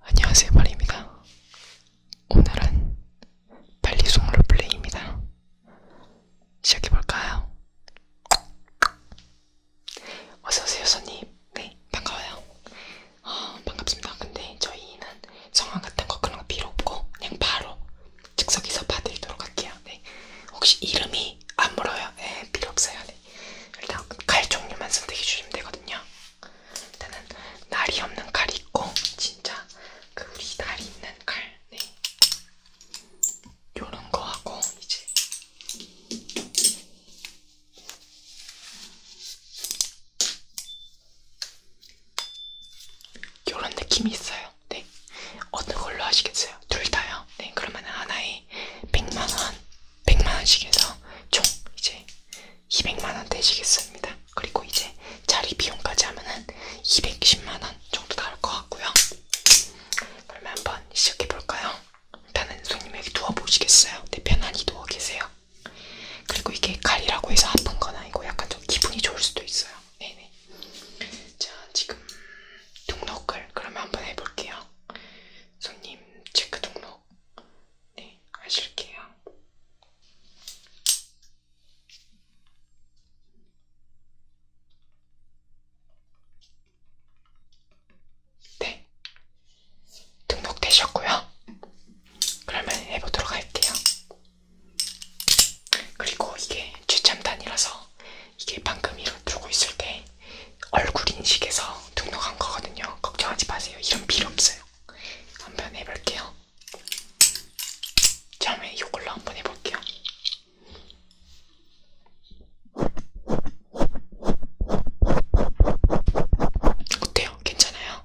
안녕하세요 마리입니다. 오늘은 발리송 롤플레이입니다. 시작해볼까요? 어서오세요 손님. 네 반가워요. 어, 반갑습니다. 근데 저희는 성함 같은 거 그런 거 필요 없고 그냥 바로 즉석에서 봐드리도록 할게요. 네. 혹시 이름이 안 물어요? 네 필요 없어요. 네. 일단 칼 종류만 선택해 주시면 되거든요. 일단은 날이 없는 칼이 있고 진짜 그 우리 날이 있는 칼, 네. 요런 거 하고 이제 요런 느낌이 있어요. 네. 어느 걸로 하시겠어요? 둘 다요? 네. 그러면 하나에 100만원 100만원씩 해서 총 이제 200만원 되시겠습니다. 그리고 이제 자리 비용까지 하면은 210만원 정도 나올 것 같고요. 그러면 한번 시작해볼까요? 일단은 손님 여기 누워보시겠어요? 네, 편안히 누워 계세요. 그리고 이게 칼이라고 해서 아픈 건 아니고 약간 좀 기분이 좋을 수도 있어요. 네네. 자, 지금 등록을 그러면 한번 해볼게요. 손님 체크 등록 정도 네, 아실게요. 네, 등록되셨고요. 그러면 해보도록 할게요. 그리고 이게 최첨단이라서 이게 방금 이로 들고 있을 때 얼굴 인식에서 등록한 거거든요. 걱정하지 마세요. 이런 필요 없어요. 한 번 해볼게요. 처음에 이걸로 한 번 해볼게요. 어때요? 괜찮아요?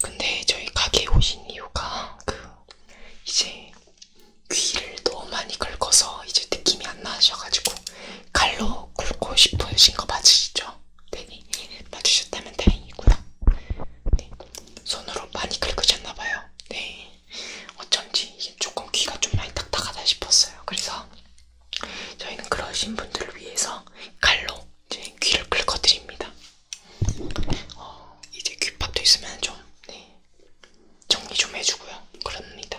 근데 저희 가게 오신 이유가 그 이제 귀를 너무 많이 긁어서 이제 느낌이 안 나셔가지고 칼로 긁고 싶으신 거 맞으시죠? 네, 맞으셨다면 다행이고요. 네, 손으로 많이 긁으셨나봐요. 네, 어쩐지 이게 조금 귀가 좀 많이 딱딱하다 싶었어요. 그래서 저희는 그러신 분들을 위해서 칼로 이제 귀를 긁어드립니다. 어, 이제 귓밥도 있으면 좀 네, 정리 좀 해주고요. 그럽니다.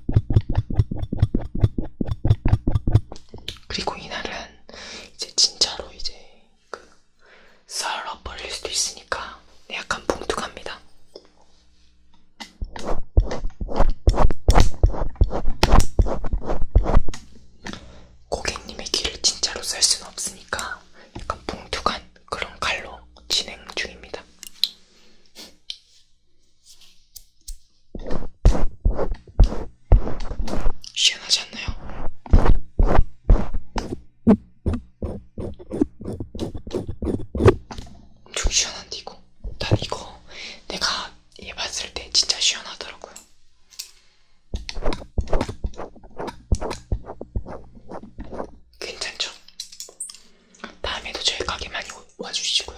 그리고 이날은 이제 진짜로 이제 그 썰어 버릴 수도 있으니까 약간 봉투갑니다. 고객님의 귀를 진짜로 썰 수는 없으니까 약간 봉투간 그런 칼로 진행 중입니다. 희한하지 않나요? 좀 시원한데 이거 난 이거 내가 얘 봤을 때 진짜 시원하더라고요 괜찮죠? 다음에도 저희 가게 많이 와주시고요.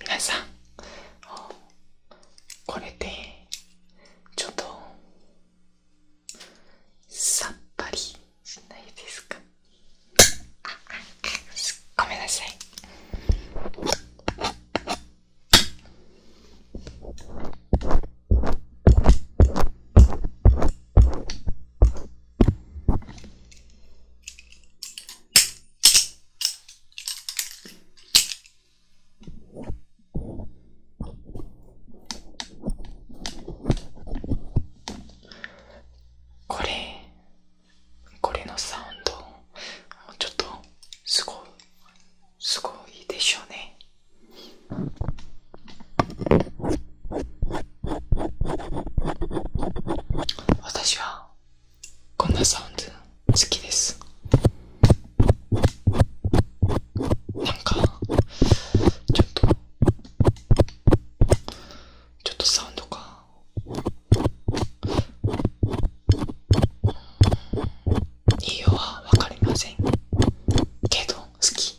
皆さんこれでちょっとさっぱりしないですかごめんなさいこれこれのサウンドもうちょっとすごいすごいでしょうね私はこんなサウンド好きですなんかちょっとちょっとサウンドかいいよはわかりませんけど好き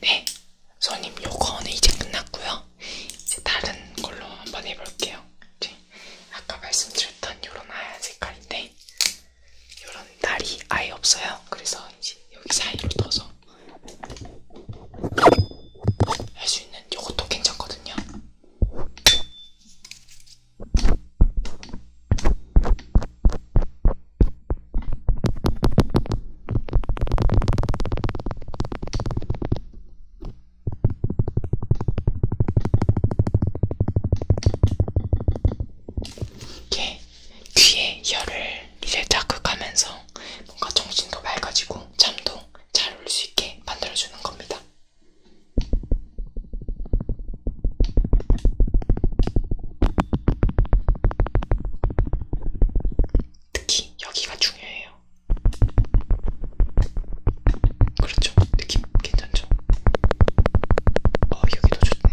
네, 손님 요거는 이제 끝났고요. 이제 다른 걸로 한번 해볼게요. 이제 아까 말씀드렸던 요런 하얀 색깔인데 요런 날이 아예 없어요. 그래서 이제 여기 사이로 떠서 할수 있는 요것도 괜찮거든요. 이게 귀에 혀를 이제 자극하면서 뭔가 정신도 밝아지고 잠도 잘 올 수 있게 만들어주는 겁니다. 특히 여기가 중요해요. 그렇죠? 느낌 괜찮죠? 어, 여기도 좋네.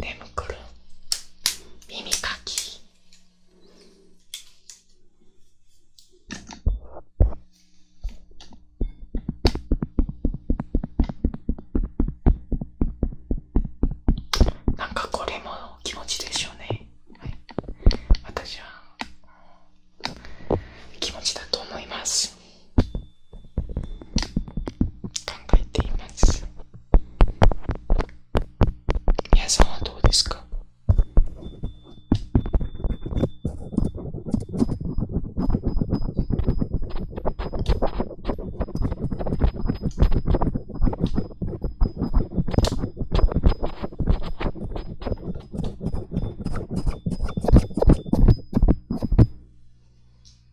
眠くる。耳かきなんかこれも気持ちでしょうね、私は気持ちだと思います考えています皆さんはどうですか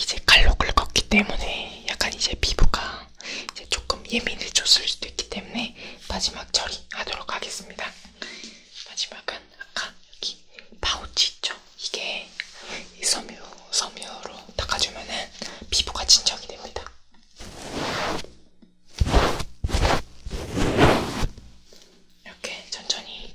이제 칼로 긁었기 때문에 약간 이제 피부가 이제 조금 예민해졌을 수도 있기 때문에 마지막 처리하도록 하겠습니다. 마지막은 아까 여기 파우치 있죠? 이게 이 섬유, 섬유로 닦아주면은 피부가 진정이 됩니다. 이렇게 천천히.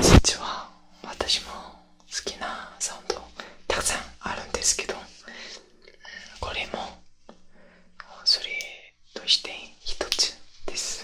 実は私も好きなサウンドたくさんあるんですけどこれもそれとして一つです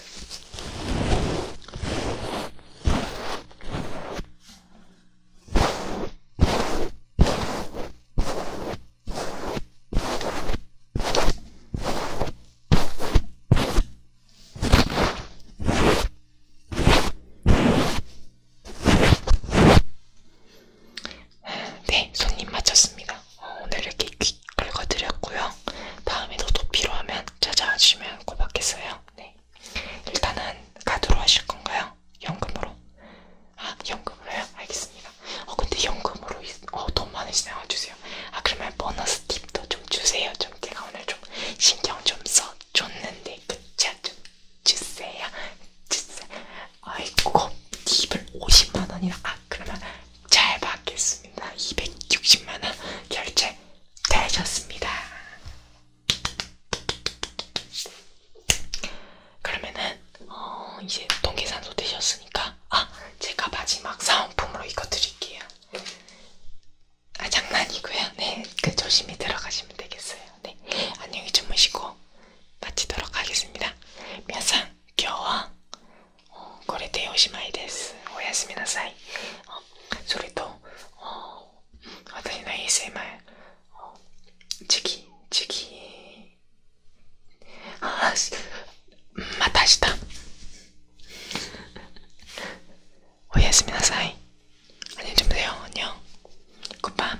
네, 손님 마쳤습니다. 어, 오늘 이렇게 귀 긁어드렸고요. 다음에도 또 필요하면 찾아와 주시면 고맙겠어요. 네, 일단은 카드로 하실 건가요? 연금으로? 아, 연금으로요? 알겠습니다. 어, 근데 연금으로 어, 돈 많으시네요. 주세요. 아, 그러면 보너스 팁도 좀 주세요. 좀 제가 오늘 좀 신경 좀 써줬는데 그쵸 좀 주세요 주세요 아이고 팁을 50만원이나 아 그러면 잘 받겠습니다 260만원 결제 되셨습니다 그러면은 어, 이제 동계산소 되셨으니까 아 제가 마지막 사은품으로 이거 드릴게요 아 장난이고요. 네, 그 조심히 들어가시면 되겠어요. 네, 안녕히 주무시고 마치도록 하겠습니다. 미안상, 겨워. これでおしまいです。おやすみなさい。 어, それと 어, 私の ASMR 어, 次,次 어, 아, また明日 오예스미나사이 안녕히 주무세요 안녕 굿밤